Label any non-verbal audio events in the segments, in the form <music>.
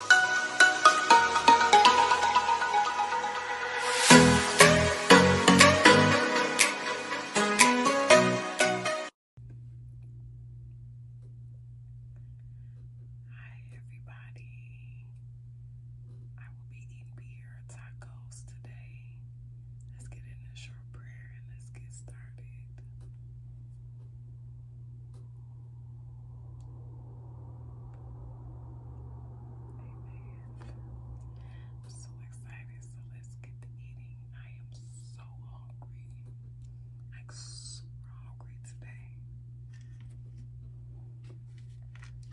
Hi everybody. I will be eating beer tacos today. Let's get in a short prayer and let's get started. I'm so excited, so let's get to eating. I am so hungry. Like super hungry today.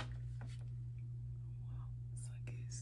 Well, so I guess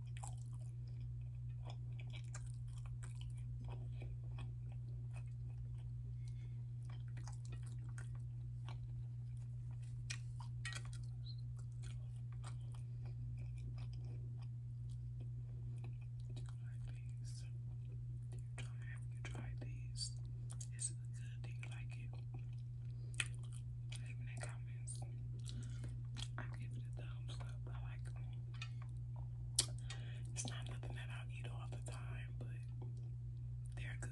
Do you try, have you tried these? Is it good? Do you like it? Leave in comments. I give it a thumbs up. I like them. It's not nothing that i eat all the time, but they're good.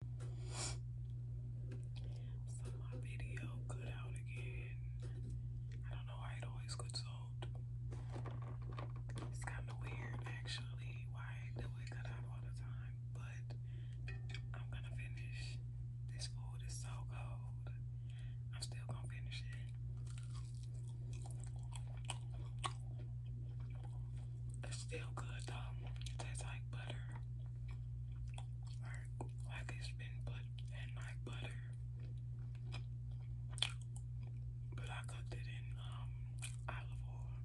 So my video cut out again. I don't know why it always gets old. It's kind of weird actually why do it cut out all the time, but I'm gonna finish. This food is so cold. I'm still gonna finish it. It's still good though. It tastes like butter. Like, it's been put in like butter. But I cooked it in um, olive oil.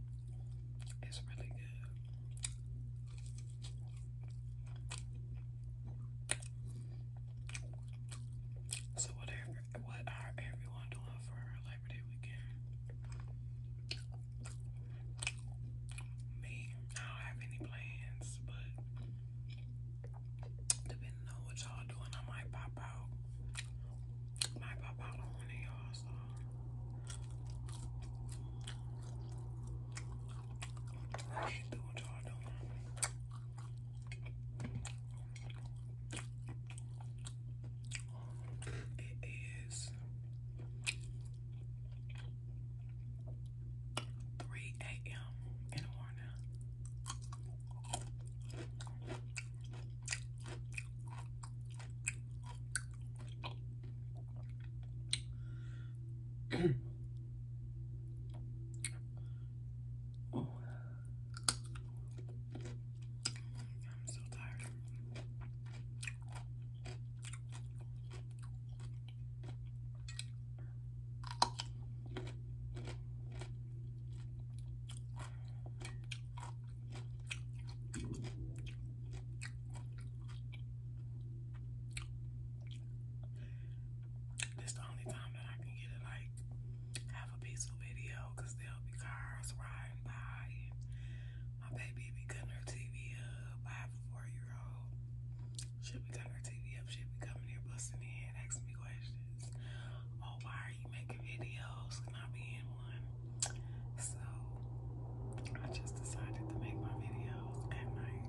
It's really good. So whatever what are everyone doing for like Labor Me, I don't have any plans, but depending on what y'all doing, I might pop out. Might pop out on one of y'all, what y'all doing. It is three a.m. in the morning. <clears throat> I'm so tired. the only time that I can get to like have a peaceful video because there'll be cars riding by my baby be cutting her TV up. I have a four-year-old. She'll be cutting her TV up. She'll be coming here busting in, asking me questions. Oh, why are you making videos? Can I be in one? So I just decided to make my videos at night.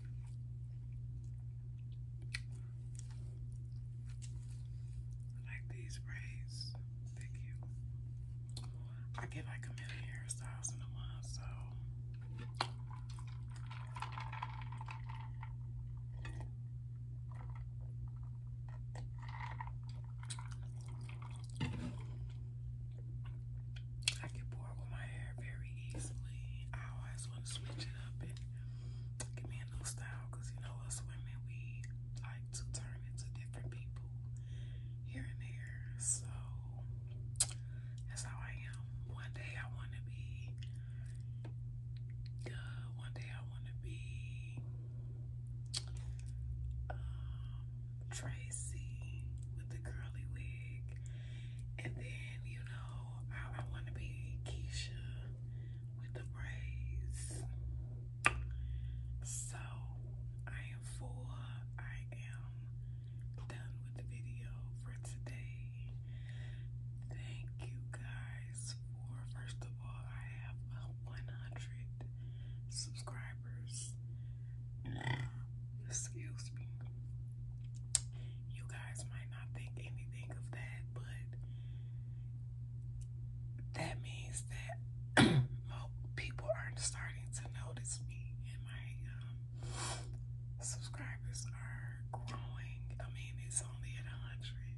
I like these braids. Thank you. I get like a million hairstyles in a month, so I get bored with my hair very easily. I always want to switch it up and give me a new style because you know us women, we like to turn into different people here and there. So that's how I am. One day I want to be one day I want to be um, Tracy with the curly wig. And then, you know, I, want to be Keisha with the braids. So, I am full. I am done with the video for today. Thank you guys for, first of all, I have 100 subscribers. Excuse me. You guys might not think anything of that, but that means that <clears throat> people are starting to notice me, and my um, subscribers are growing. I mean, it's only at a hundred.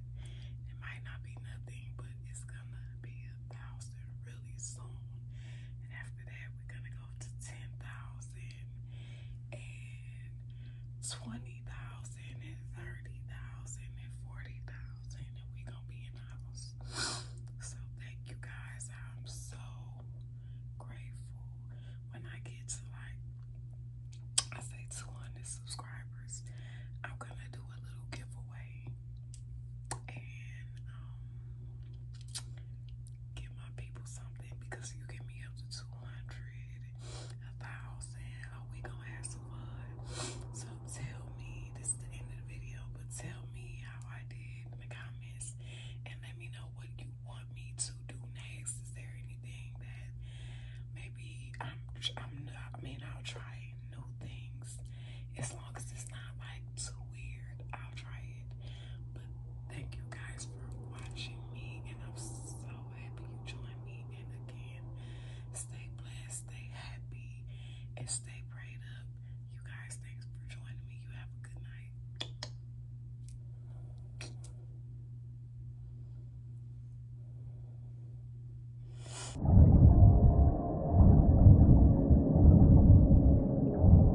It might not be nothing, but it's gonna be a thousand really soon. And after that, we're gonna to 10,000 and we gonna be in the house. So thank you guys. I'm so grateful when I get to like I say 200 subscribers, I'm gonna do a little giveaway um, give my people something because you get me up to 200, a thousand. Oh, we gonna have some fun. So tell me, this is the end of the video, but tell me how I did in the comments and let me know what you want me to do next. Is there anything that maybe I'm, I'm not, I mean, I'll try new things as long as it's not like too weird. I'll but thank you guys for watching me, and I'm so happy you joined me. And again, stay blessed, stay happy, and stay prayed up. You guys, thanks for joining me. You have a good night.